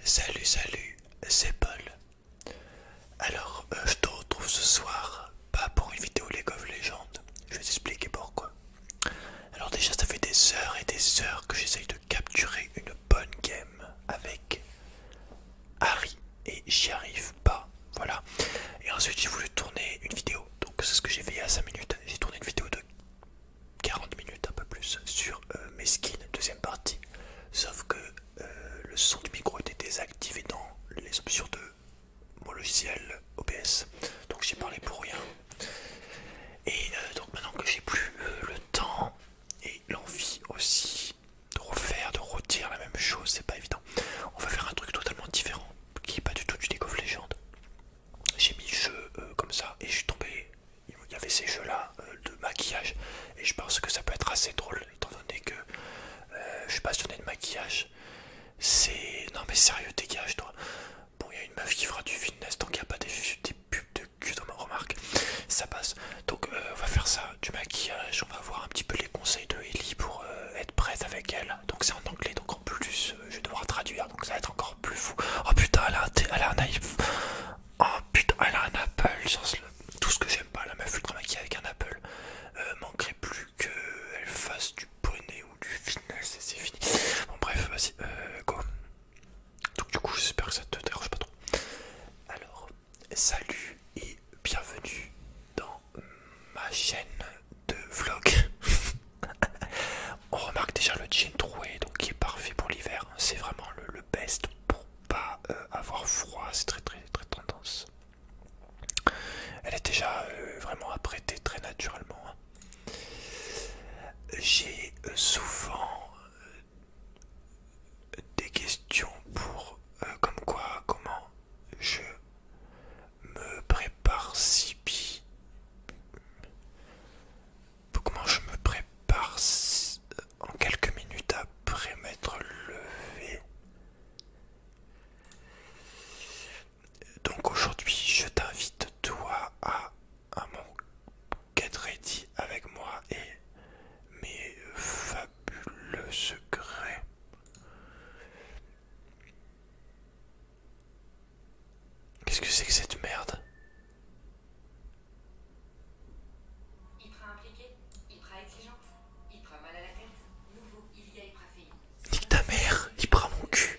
Salut, salut, c'est Paul. Alors, euh, je te retrouve ce soir, pas pour une vidéo League of Legends, je vais t'expliquer pourquoi. Alors, déjà, ça fait des heures et des heures que j'essaye de capturer une bonne game avec Harry et j'y arrive pas. Voilà, et ensuite j'ai voulu tourner une vidéo, donc c'est ce que j'ai fait à y a 5 minutes. J'ai tourné une vidéo de 40 minutes un peu plus sur euh, mes skins, deuxième partie. Sauf que euh, le son du micro était désactivé dans les options de mon logiciel OBS. Donc j'ai parlé pour rien. Et euh, donc maintenant que j'ai plus le temps et l'envie aussi de refaire, de redire la même chose, c'est pas évident. On va faire un truc totalement différent, qui est pas du tout du League of J'ai mis le jeu comme ça et je suis tombé il y avait ces jeux-là euh, de maquillage et je pense que ça peut être assez drôle étant donné que euh, je suis passionné de maquillage. C'est... Non mais sérieux, dégage toi. Bon, il y a une meuf qui fera du fitness donc il n'y a pas des, pubs de cul dans ma remarque. Ça passe. Donc euh, on va faire ça, du maquillage, on va voir un petit peu les conseils de Ellie pour être prête avec elle. Donc c'est en anglais, donc en plus je vais devoir traduire, donc ça va être encore plus fou. Oh putain, elle a un, Oh putain, elle a un Apple, tout ce que j'aime pas, la meuf ultra maquillée avec un Apple. Euh, manquerait plus qu'elle fasse du poney ou du finesse c'est fini. Bon, bref, vas-y, euh, Donc, du coup, j'espère que ça te dérange pas trop. Alors, salut et bienvenue dans ma chaîne de vlog. On remarque déjà le jean troué, donc qui est parfait pour l'hiver. Hein. C'est vraiment le, le best pour pas euh, avoir froid, c'est très très très tendance. Elle est déjà euh, vraiment apprêtée très naturellement. Hein. J'ai euh, souvent des questions pour comme quoi, comment je me prépare si bien comment je me prépare en quelques minutes après m'être levé. Donc aujourd'hui, je t'invite toi à, un mon Get Ready avec moi et mes fabuleux secrets. Qu'est-ce que c'est que cette merde Hypra impliqué, hypera exige, hypera mal à la tête, nouveau il y a hyperfénie. Dis ta mère, il prend mon cul.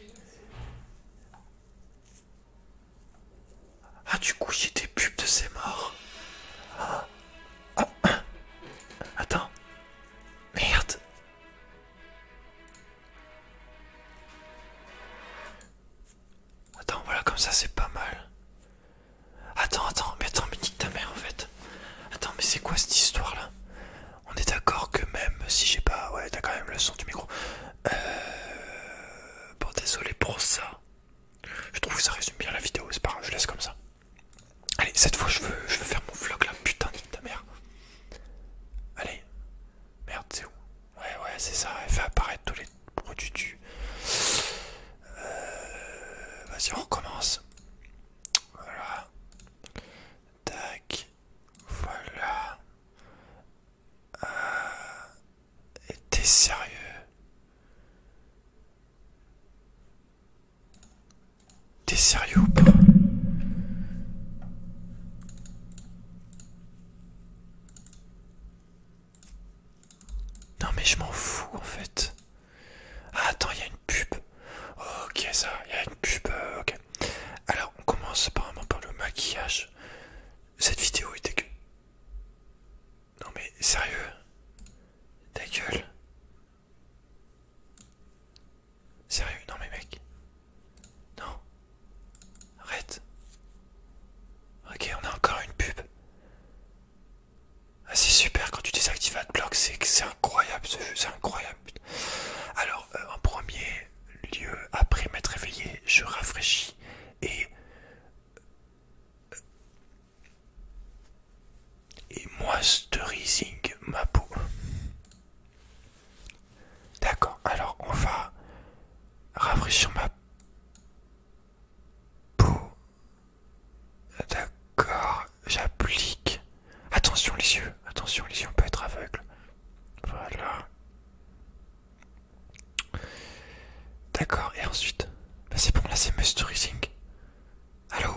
Ah, du coup, j'ai des pubs de ces morts. Ah. Ah. Attends. Merde. Attends, voilà, comme ça c'est pas mal. Attends, attends, mais attends, mais nique ta mère en fait. Attends, mais c'est quoi cette histoire là On est d'accord que même si j'ai pas. Ouais, t'as quand même le son du micro. Euh. Bon, désolé pour ça. Je trouve que ça résume bien la vidéo, c'est pas grave, je laisse comme ça. Allez, cette fois je veux, je veux faire mon vlog là, putain, nique ta mère. Allez, merde, c'est où Ouais, ouais, c'est ça. Elle fait apparaître tous les produits du. Euh, vas-y, on recommence. Voilà. Tac. Voilà. Euh, et t'es sérieux T'es sérieux non mais je m'en fous en fait. Ah, attends, il y a une pub. Ok ça, il y a une pub. Euh, ok. Alors on commence apparemment par le maquillage. Cette vidéo est dégueu. Non mais sérieux Ta gueule Sérieux Non mais mec Non Arrête. Ok, on a encore une pub. Ah, c'est super quand tu désactives AdBlock, c'est incroyable ce jeu, c'est incroyable. Alors, euh, en premier lieu, après m'être réveillé, je rafraîchis et. Euh, et moi rising ma peau. D'accord, alors on va rafraîchir ma D'accord, j'applique. Attention les yeux, attention les yeux, on peut être aveugle. Voilà. D'accord, et ensuite, ben, c'est bon, là c'est Rising. Allô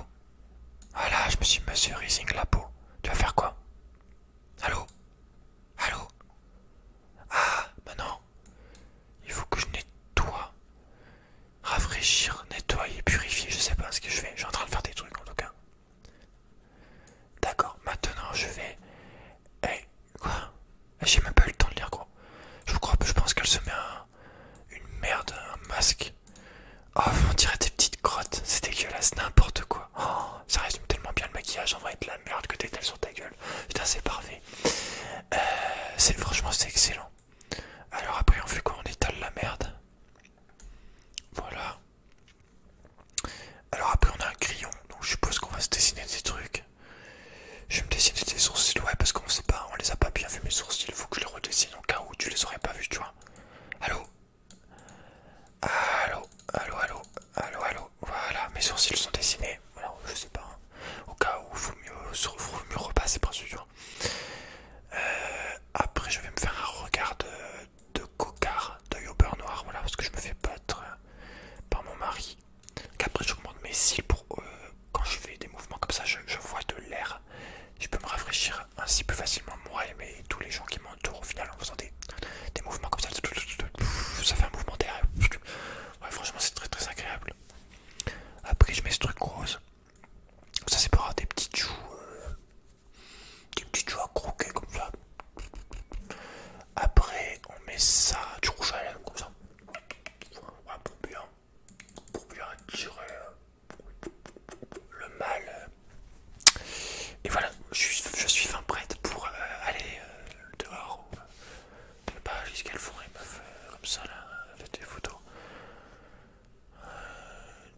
Voilà, je me suis musterizing la peau. Tu vas faire quoi Allô Allô Ah, maintenant, il faut que je nettoie, rafraîchir, nettoyer, purifier. Je sais pas ce que je fais. Je suis en train de faire des trucs en tout cas. D'accord, maintenant je vais. Eh, quoi eh, J'ai même pas eu le temps de lire quoi. Je crois je pense qu'elle se met une merde, un masque. Oh, on dirait des petites grottes. C'est dégueulasse, n'importe quoi. Oh, ça résume tellement bien le maquillage. En vrai, de la merde que t'étales sur ta gueule. Putain, c'est parfait. Euh, franchement, c'est excellent. Alors, après, on fait quoi On étale la merde. Voilà. Alors, après, on a un crayon. Donc, je suppose qu'on va se dessiner des trucs. Je vais me dessiner des sourcils. Ouais, parce qu'on sait pas, on les a pas bien vus, mes sourcils. Faut que je les redessine au cas où tu les aurais pas vus, tu vois. Allô Allô Allô Allô Allô, allô, voilà, mes sourcils sont dessinés. je sais pas, hein. au cas où, il faut mieux, mieux repasser par sûr. Euh, après, je vais me faire un regard de, de cocard, d'œil au beurre noir, voilà, parce que je me fais battre euh, par mon mari. je après, j'augmente mes cils pour euh, quand je fais des mouvements comme ça, je, vois de l'air. Je peux me rafraîchir ainsi plus facilement moi et, tous les gens qui m'entourent au final en des, mouvements comme ça. Ça fait un mouvement terrible franchement, c'est très très agréable. Après, je mets ce truc rose. Ça, c'est pour avoir des petites joues. Euh, des petites joues à croquer comme ça. Après, on met ça, du rouge à comme ça. pour bien, pour bien attirer euh, le mal. Et voilà, je suis, je suis fin prête pour euh, aller dehors je sais pas ce qu'elles font, elles comme ça là, avec des photos. Euh,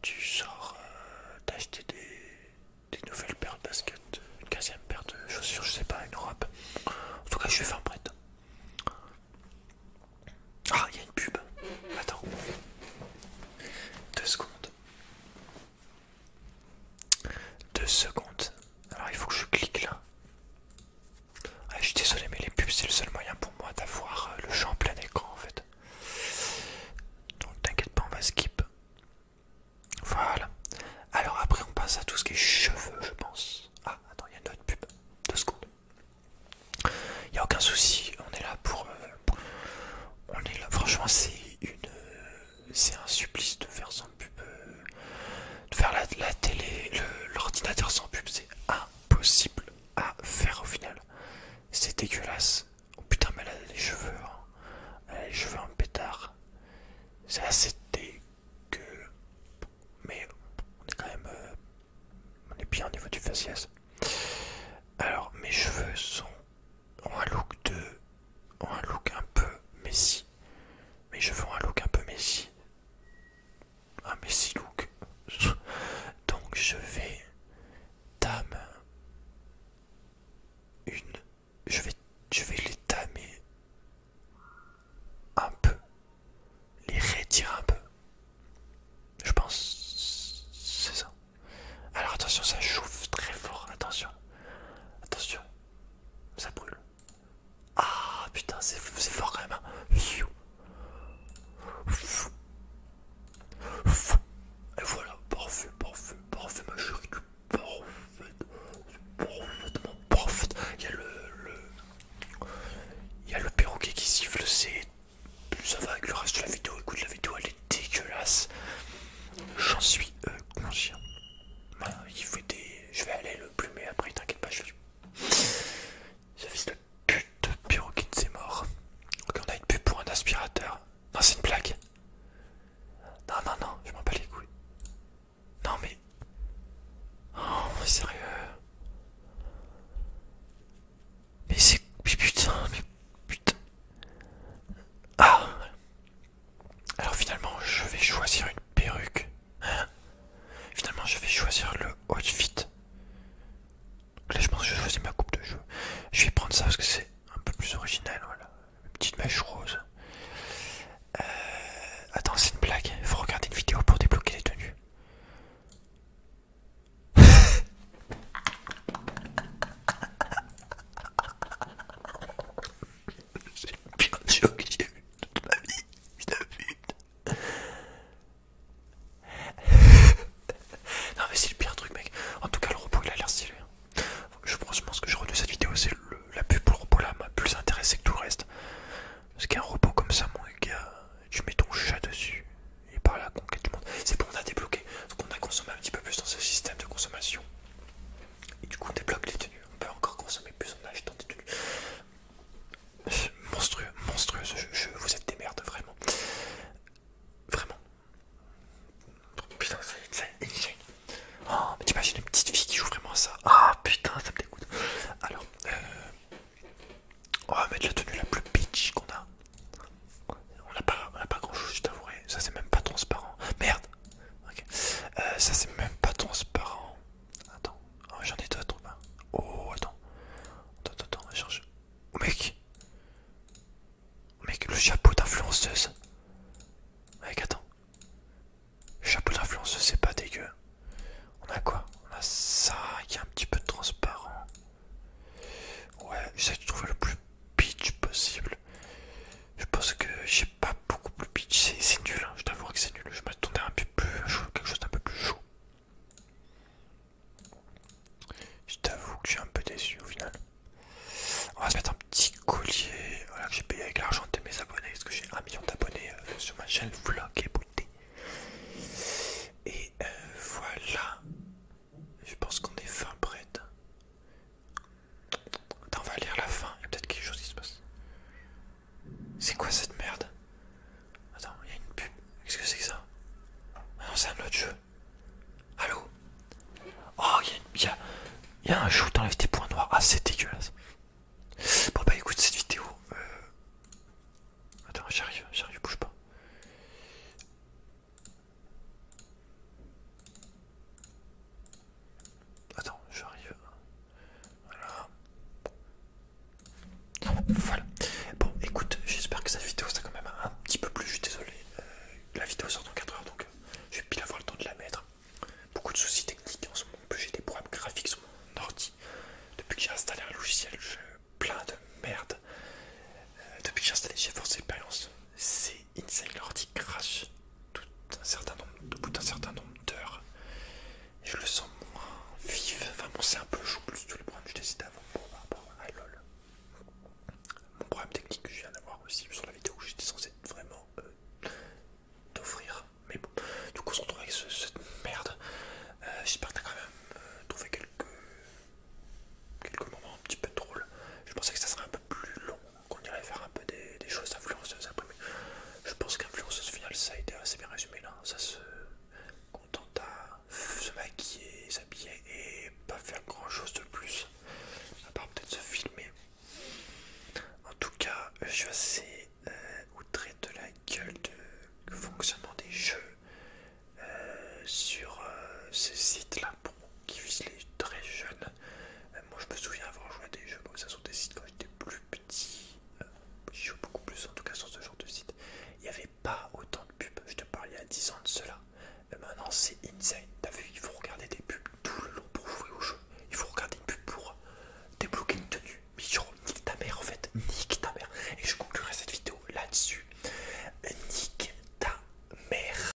tu sors d'acheter euh, des, nouvelles paires de baskets, une quinzième paire de chaussures, je sais pas, une robe. En tout cas, je vais faire prête. Ah, il y a une pub. Attends. Deux secondes. Deux secondes. Alors il faut que je clique là. Ah, je suis désolé mais les pubs c'est le seul moyen pour moi d'avoir euh, le champ en plein écran en fait. Donc t'inquiète pas on va skip. Voilà. Alors après on passe à tout ce qui est cheveux je pense. Ah attends il y a une autre pub. Deux secondes. Il n'y a aucun souci. On est là pour... Euh, on est là. Franchement c'est une... Euh, c'est un supplice de faire sans pub, euh, de faire la, télé, l'ordinateur sans pub, c'est impossible à faire au final. C'est dégueulasse. Oh putain, mais elle les cheveux, hein. elle les cheveux en pétard. C'est assez dégueu, mais on est quand même, euh, on est bien au niveau du faciès. Alors, mes cheveux sont un look de. un look un peu Messi. Mais je veux un look un peu Messi. Un Messi look. Donc je vais. Tam... Une. Je vais, je vais les tamer un peu. Les retirer un peu. Je pense. C'est ça. Alors attention, ça chauffe très fort. Attention. Attention. Ça brûle. Ah putain, c'est fort quand même. Hein. Et voilà, parfait, parfait, parfait, ma chérie. Parfait, parfaitement parfait. Il y a le, Il y a le perroquet qui siffle, c'est. Ça va avec le reste de la vidéo. Écoute, la vidéo elle est dégueulasse. J'en suis euh, conscient. Bah, il faut Je vais aller le plumer après, t'inquiète pas, je vais... Ce fils de pute c'est mort. Ok, on a une pub pour un aspirateur. Non, c'est une blague. Non, non, non, je m'en bats les couilles. Non, mais... Oh, sérieux. Mais c'est... putain, mais putain. Ah, alors finalement, je vais choisir une perruque. Hein. finalement, je vais choisir le outfit. là, je pense que je vais choisir ma coupe de cheveux. Je vais prendre ça parce que c'est un peu plus original. Voilà, une petite mèche rose. Euh, attends, c'est une blague. il Faut regarder une vidéo pour débloquer les tenues. C'est le pire truc que j'ai vu toute ma vie, non mais c'est le pire truc mec. En tout cas le robot il a l'air stylé. Hein. Je pense, que je cette vidéo, c'est la pub pour le robot là m'a plus intéressé que tout le reste. Parce qu'un robot comme ça mon gars, tu mets ton chat dessus et par là, conquête tu monde. C'est bon on a débloqué, qu'on qu'on a consommé un petit peu plus dans ce système de consommation. Et du coup, on débloque les tenues. On peut encore consommer plus en achetant des tenues. Monstrueux, monstrueux ce jeu. vous êtes des merdes, vraiment. Vraiment. Putain, ça c'est insane. Oh, mais t'imagines une petite fille qui joue vraiment à ça. Ah putain, ça me dégoûte. Alors, euh, on va mettre la tenue la plus bitch qu'on a. On n'a pas, pas grand chose, je t'avouerai. Ça, c'est même pas transparent. Merde, euh, ça c'est même pas transparent. Attends, ah, j'en ai d'autres. Ben. Oh, attends. Attends, attends, on va oh, mec Mec, le chapeau d'influenceuse. Mec, attends. Le chapeau d'influenceuse, c'est pas dégueu. On a quoi On a ça qui est un petit peu transparent. Ouais, j'essaie de trouver le plus pitch possible. Je pense que j'ai pas beaucoup plus pitché, c'est nul, hein, je t'avoue que c'est nul, je m'attendais à un peu plus quelque chose d'un peu plus chaud. Je t'avoue que je suis un peu déçu au final. On va se mettre un petit collier voilà, que j'ai payé avec l'argent de mes abonnés, parce que j'ai un million d'abonnés euh, sur ma chaîne Vlog et Beauté. Et euh, voilà, je pense qu'on est fin prête. Attends, on va lire la fin, Et y a peut-être quelque chose qui se passe. C'est quoi cette merde Attends, il y a une pub. Qu'est-ce que c'est que ça Ah non, c'est un autre jeu. Allô Oh, il y, a, a, y a un la t'enlèves des points noirs. Ah, c'est dégueulasse. Bon, bah écoute, cette vidéo. Euh, Attends, j'arrive, j'arrive, bouge pas. Attends, j'arrive. Voilà. Voilà. Bon, écoute, j'espère que cette vidéo sera quand même un petit peu plus. Je suis désolé. Euh, la vidéo sort dans 4 heures, donc euh, je vais pile avoir le temps de la mettre. Beaucoup de soucis techniques en ce moment. J'ai des problèmes graphiques sur mon ordi. Depuis que j'ai installé un logiciel, je plein de merde. Euh, depuis que j'ai installé GeForce Experience, c'est Inside Insane Lordi crash tout un certain nombre, au bout certain nombre d'heures. Je le sens moins vif. Enfin bon, c'est un peu chaud plus tout le problème que je décide avant par rapport à LOL. Mon problème technique que je viens d'avoir aussi sur la vidéo où j'étais censé vraiment euh, t'offrir. Mais bon, du coup on se retrouve avec cette merde. Euh, j'espère que t'as quand même euh, trouvé quelques quelques moments un petit peu drôles. Je pensais que ça serait un peu plus long qu'on irait faire un peu des, choses influenceuses après. Mais je pense qu'influenceuse finale, ça a été assez bien résumé là. Ça se contente à se maquiller, s'habiller et pas faire grand chose de plus, à part peut-être se filmer. En tout cas, je suis assez euh, outré de la gueule du fonctionnement des jeux euh, sur euh, ces sites là pour qui vise les très jeunes. Euh, moi, je me souviens avoir joué à des jeux ça sur des sites quand j'étais plus petit. Euh, j'y joue beaucoup plus, en tout cas sur ce genre de site. Il n'y avait pas autant de pubs. Je te parlais à 10 ans de cela. Euh, maintenant, c'est insane. T'as vu, il faut regarder des pubs tout le long pour jouer au jeu. Il faut regarder une pub pour débloquer une tenue. Mais genre, nique ta mère en fait. Nique ta mère. Et je conclurai cette vidéo là-dessus. Nique ta mère.